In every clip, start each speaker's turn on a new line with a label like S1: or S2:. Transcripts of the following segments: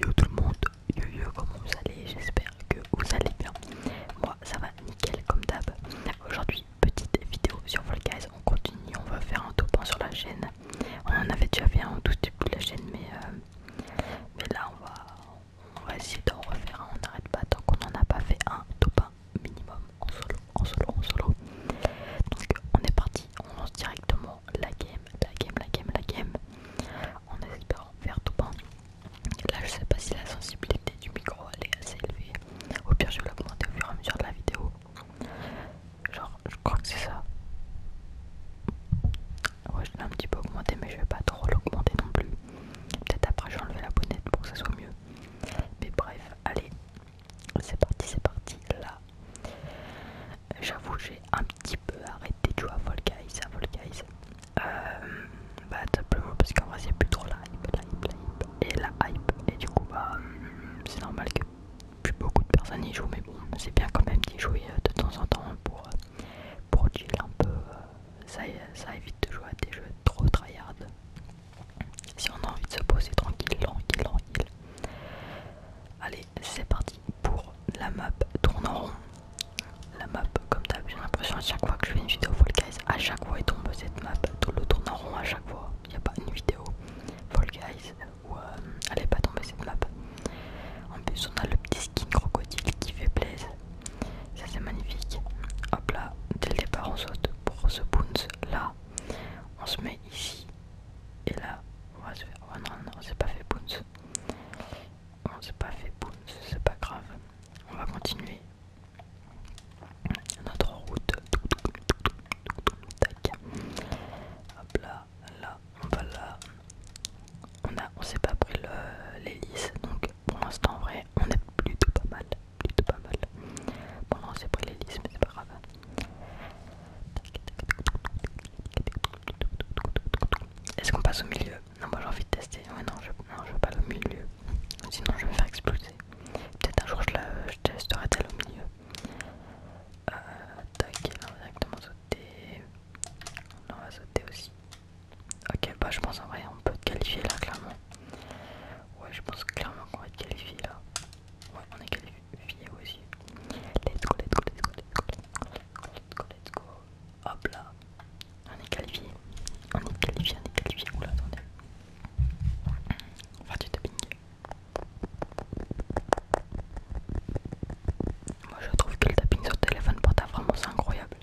S1: Yo tout le monde, yo yo comment vous allez J'espère que vous allez bien. Moi ça va nickel comme d'hab. Aujourd'hui petite vidéo sur Fall on continue, on va faire un top 1 sur la chaîne. On en avait déjà fait un tout début de la chaîne euh, mais, là on va, on va essayer d'en refaire un, on n'arrête pas tant qu'on n'en a pas fait un top 1 minimum en solo, en solo, en solo. Donc on est parti, on lance directement la game, la game, la game, la game. En espérant faire tout bon. Là, je sais pas si la sensibilité du micro elle est assez élevée. Au pire, je vais l'augmenter au fur et à mesure de la vidéo. Genre, je crois que c'est ça. Ouais, je l'ai un petit peu augmenté, mais je vais pas trop l'augmenter non plus. Peut-être après, enlever la bonnette pour que ça soit mieux. Mais bref, allez, c'est parti, c'est parti. Là, euh, j'avoue, j'ai un petit peu arrêté de jouer à Fall Guys. À Vol euh, bah, simplement parce qu'en vrai, c'est plus trop la hype, et la hype. Et du coup, bah, hum, c'est normal que plus beaucoup de personnes y jouent, mais bon, c'est bien quand même d'y jouer euh, de temps en temps pour, pour chill un peu. Ça, évite de jouer à des jeux trop tryhard. Si on a envie de se poser tranquille, tranquille, tranquille. Allez, c'est parti pour la map tourne en rond. La map, comme d'hab. j'ai l'impression, à chaque fois que je fais une vidéo Fall Guys, à chaque fois il tombe cette map, le tourne en rond à chaque fois. Il n'y a pas une vidéo Fall Guys où euh, elle est pas tombée cette map. En plus, on a le petit skin crocodile qui fait plaise. Ça, c'est magnifique. Hop là, dès le départ, on saute pour ce bounce là. On se met ici et là. On va se faire. Oh non, non, c'est pas fait bounce. On oh, s'est pas fait boum, c'est pas grave. On va continuer notre route. Hop là, là, on va là. On a, s'est pas pris l'hélice, donc pour l'instant, en vrai, on est plutôt pas mal. Plutôt pas mal. Bon, on s'est pris l'hélice, mais c'est pas grave. Est-ce qu'on passe au milieu Non, moi j'ai envie de tester. Ouais, non, je, non, veux pas le milieu. Sinon, je vais me faire exploser. Peut-être un jour, je, la, je elle elle au milieu. Euh, là, on va directement sauter. Là, on va sauter aussi. Ok, bah, je pense en vrai, on peut te qualifier là, clairement. Ouais, je pense clairement qu'on va être qualifié là. Ouais, on est qualifié aussi. Let's go, let's go, let's go, let's go let's go, let's go. Hop là. On est qualifié. On est qualifié, on est qualifié. Oula, attendez. On va du tapping. Moi je trouve que le tapping sur téléphone portable vraiment c'est incroyable.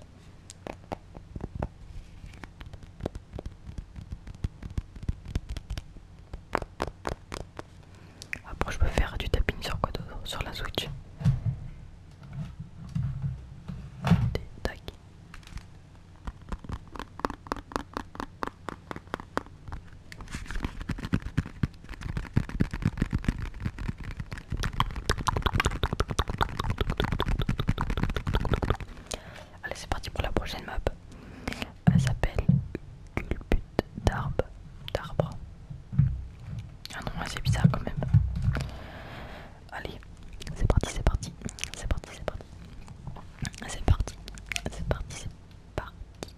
S1: Après je peux faire du tapping sur quoi d'autre Sur la Switch. Allez c'est parti pour la prochaine map. Elle s'appelle D'arbres. d'arbre. D'arbre. Un ah nom c'est bizarre quand même. Allez, c'est parti, c'est parti, c'est parti, c'est parti. C'est parti, c'est parti, c'est parti.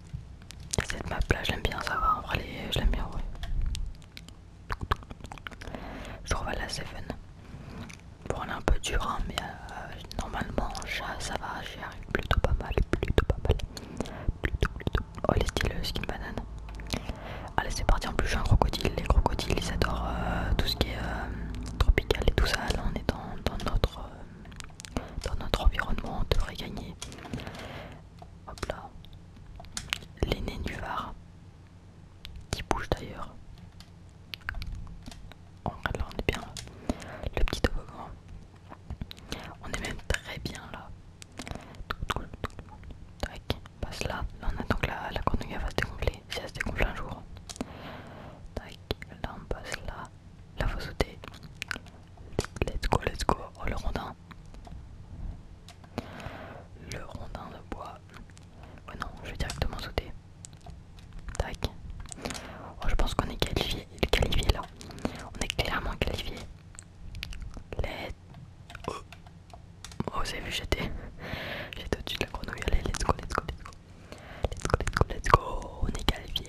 S1: Cette map là, je l'aime bien, ça En je l'aime bien, ouais. Je trouve à la 7. Bon, elle est un peu dur hein, mais euh, normalement, ça, ça va, j'y arrive plutôt pas mal, plutôt pas mal. Plutôt, plutôt, Oh, les styles euh, skin banane. Allez, c'est parti. En plus, je un crocodile. Les crocodiles, ils adorent euh, tout ce qui est euh, tropical et tout ça. Là, on est dans, notre, dans notre environnement. On devrait gagner. Hop là. Les nénuphars qui bougent d'ailleurs. on est bien là. Le petit toboggan. On est même très bien là. Tac, passe là. on attend que la, la va se dégonfler. Si elle se dégonfle un jour. Tac, là, on passe là. Là, faut sauter. Let's go, let's go. Oh, le rondin. Le rondin de bois. Ouais, non, je vais directement sauter. Tac. Oh, je pense qu'on est qualifié, qualifié là. On est clairement qualifié. Let's... Oh, oh vous avez vu, j'étais... au dessus de la grenouille. Allez, let's go, let's go, let's go. Let's go, let's go, let's go. On est qualifié.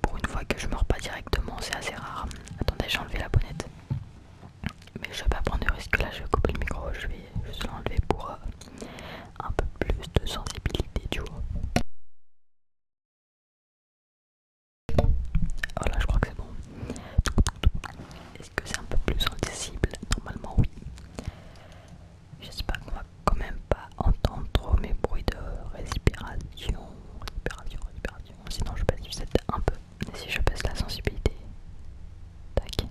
S1: Pour une fois que je meurs pas directement, c'est assez rare. Attendez, j'ai enlevé la bonnette. Mais je vais pas prendre de risque là, je vais couper le micro, je vais juste l'enlever pour euh, un peu plus de sensibilité, tu vois. Voilà, oh je crois que c'est bon. Est-ce que c'est un peu plus sensible Normalement, oui. J'espère qu'on va quand même pas entendre trop mes bruits de respiration. Respiration, respiration. Sinon, je baisse cette un peu. Et si je baisse la sensibilité Tac.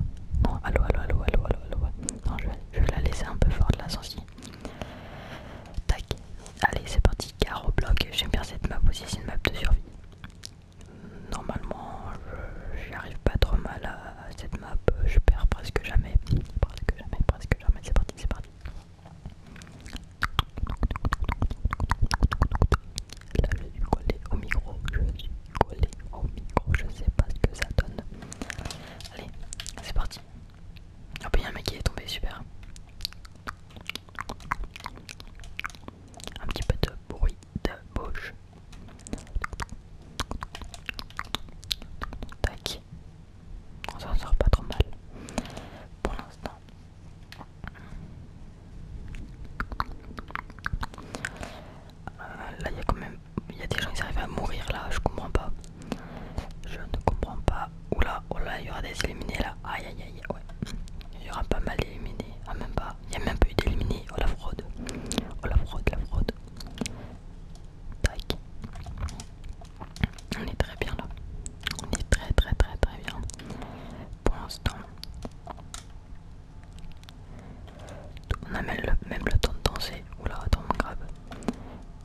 S1: Non, allô, allô, allô, allô, allô, allô. Non, je vais, la laisser un peu forte la sensibilité. Tac. Allez, c'est parti. Car au bloc, j'aime bien cette map aussi, c'est une map de survie normalement j'y arrive pas trop mal à, cette map, je perds presque jamais, presque jamais, presque jamais, c'est parti, c'est parti. Là je suis collé au micro, je suis collé au micro, je sais pas ce que ça donne. Allez, c'est parti. Ah oh, bah un mec qui est tombé, super. Un petit peu de bruit de bouche. Tac. On s'en sort pas trop mal pour l'instant. Euh, là, il y a quand même. Il y a des gens qui arrivent à mourir là, je comprends pas. Je ne comprends pas. Oula, oula, oh il y aura des éliminés là. Aïe aïe aïe, ouais. Il y aura pas mal d'éliminés. Ah, même pas il y a même pas eu d'éliminé. Oh la fraude. Oh la fraude, la fraude. Tac. On est très bien là. On est très très très très bien. Pour l'instant. On a même le, temps de danser. Oula, attends, grave.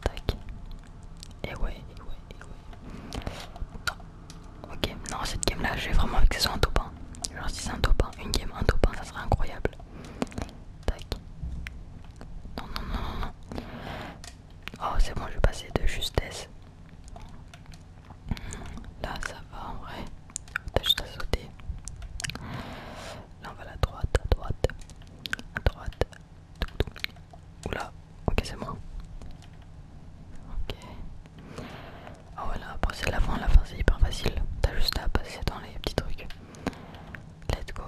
S1: Tac. Et ouais, et ouais, et ouais. Ok, non, cette game là, j'ai vraiment envie que ce soit un top Genre, si c'est un top 1, une game, un top 1, ça serait incroyable. Tac. Non, non, non, non, Oh, c'est bon, je vais passer de justesse. Là, ça va en vrai. T'as juste à sauter. Là, on va à droite, à droite, à droite. Oula, ok, c'est bon. Ok. Ah voilà, après c'est la fin, la fin c'est hyper facile. T'as juste à passer dans les petits trucs. Let's go.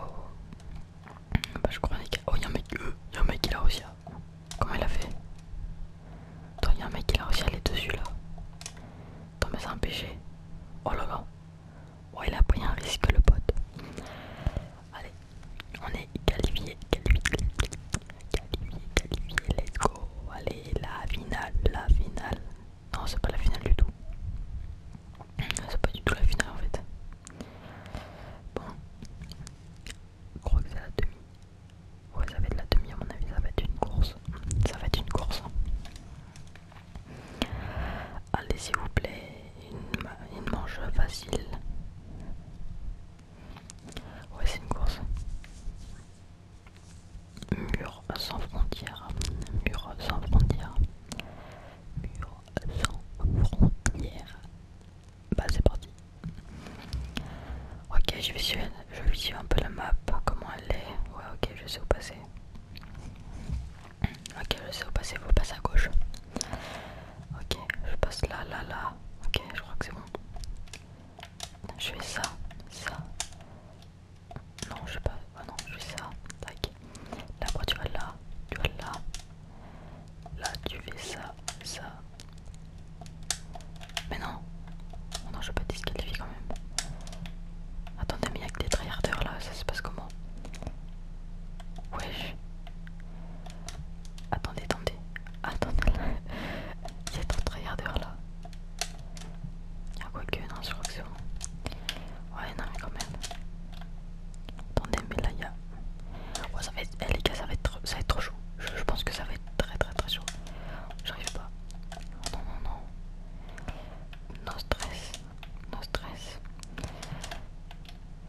S1: Bah je crois qu'il Oh y'a un mec, euh, y'a un mec qui l'a réussi Comment il a fait Attends, y'a un mec qui a réussi à aller dessus là. Attends mais c'est un péché. Oh là là. Oh il a pris un risque le pote. Allez, on est qualifié, qualifié, Qualifié, qualifié, let's go. Allez, la finale, la finale. Non, c'est pas la finale du tout. C'est pas du tout la finale en fait. Bon, je crois que c'est la demi. Ouais, ça va être la demi à mon avis. Ça va être une course. Ça va être une course. Allez, s'il vous plaît, une, une manche facile. Ouais, c'est une course. Mur sans frontières, mur sans frontières, mur sans frontières. Bah c'est parti. Ok, je visualise, je visualise un peu la map, comment elle est. Ouais, ok, je sais où passer. Ok, je sais où passer, faut passer à gauche. Ok, je passe là, là, là. Ok, je crois que c'est bon. Je fais ça, ça. Non, je sais pas. Ah non, je fais ça. Tac. Là, tu vas là, tu vas là. Là, tu fais ça, ça. Mais non. Oh non, je vais pas te disqualifier quand même. Attendez, mais il a que des tryharders là, ça se passe comment Wesh. Attendez, attendez. Attendez là. Il y a trop de regardeurs là. quoi y non, je crois que c'est bon. Ouais, non, mais quand même. Attendez, mais là, ça va être. Eh, les gars, ça va être, trop... ça va être trop chaud. Je, pense que ça va être très, très, très chaud. J'arrive pas. Non, non, non. No stress. No stress.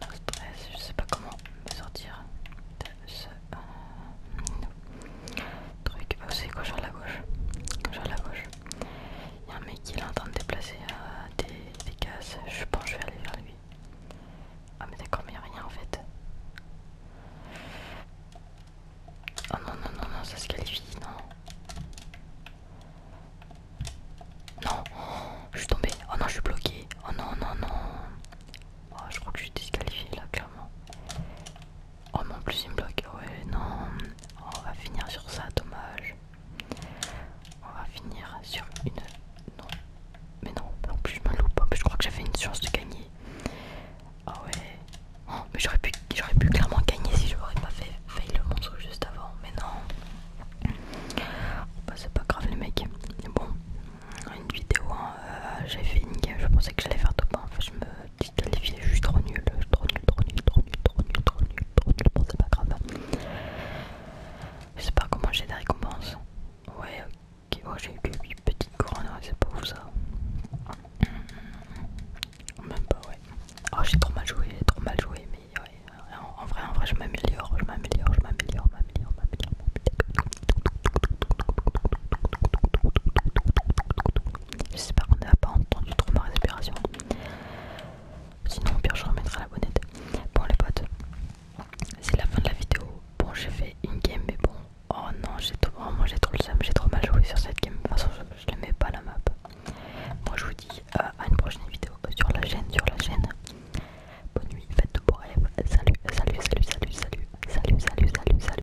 S1: No stress. Je sais pas comment me sortir euh, truc. Oh, c'est gauche à la gauche. à la gauche. Il y a un mec qui est en train de déplacer euh, des, des cases. Je pense que je vais aller vers lui. Ah, mais d'accord, mais rien en fait. Oh non, non, non, non, ça se qualifie, non. Non, oh, je suis tombé Oh non, je suis bloqué Oh non, non, non. Oh, je crois que je suis disqualifiée là, clairement. Oh non plus une bloc ah Ouais non. on va finir sur ça, dommage. On va finir sur une... Non. Mais non, en plus je me loupe. je crois que j'avais une chance de gagner. Ah ouais. Oh, mais j'aurais pu, pu clairement gagner si je n'aurais pas fait fail le monstre juste avant. Mais non. Bah c'est pas grave les mecs. bon, une vidéo, j'avais hein, euh, j'ai fait une game, je pensais que j'allais faire top 1. Enfin, je me je suis trop nul, trop nul, trop nul, trop nul trop nul, trop nul trop nul c'est pas grave. Je sais pas comment j'ai des récompenses. Ouais, ok, oh, j'ai eu que 8 petites couronnes, c'est pas ouf ça. Mmh. Même pas, ouais. Oh, j'ai trop mal joué, trop mal joué, mais En, vrai, en vrai, je m'améliore, je m'améliore, je m'améliore, je m'améliore, je m'améliore. J'espère qu'on n'a pas entendu trop ma respiration. Sinon, au pire, je remettrai la bonnette. Bon, les potes, c'est la fin de la vidéo. Bon, j'ai fait une game, mais bon. Oh non, j'ai trop, oh, trop le seum, j'ai trop mal joué sur cette game. De toute façon, je, ne l'aimais pas la map. Moi, je vous dis euh, à une prochaine vidéo euh, sur la chaîne, sur la chaîne. Bonne nuit, faites de beaux rêves. salut, salut, salut, salut, salut, salut, salut. salut.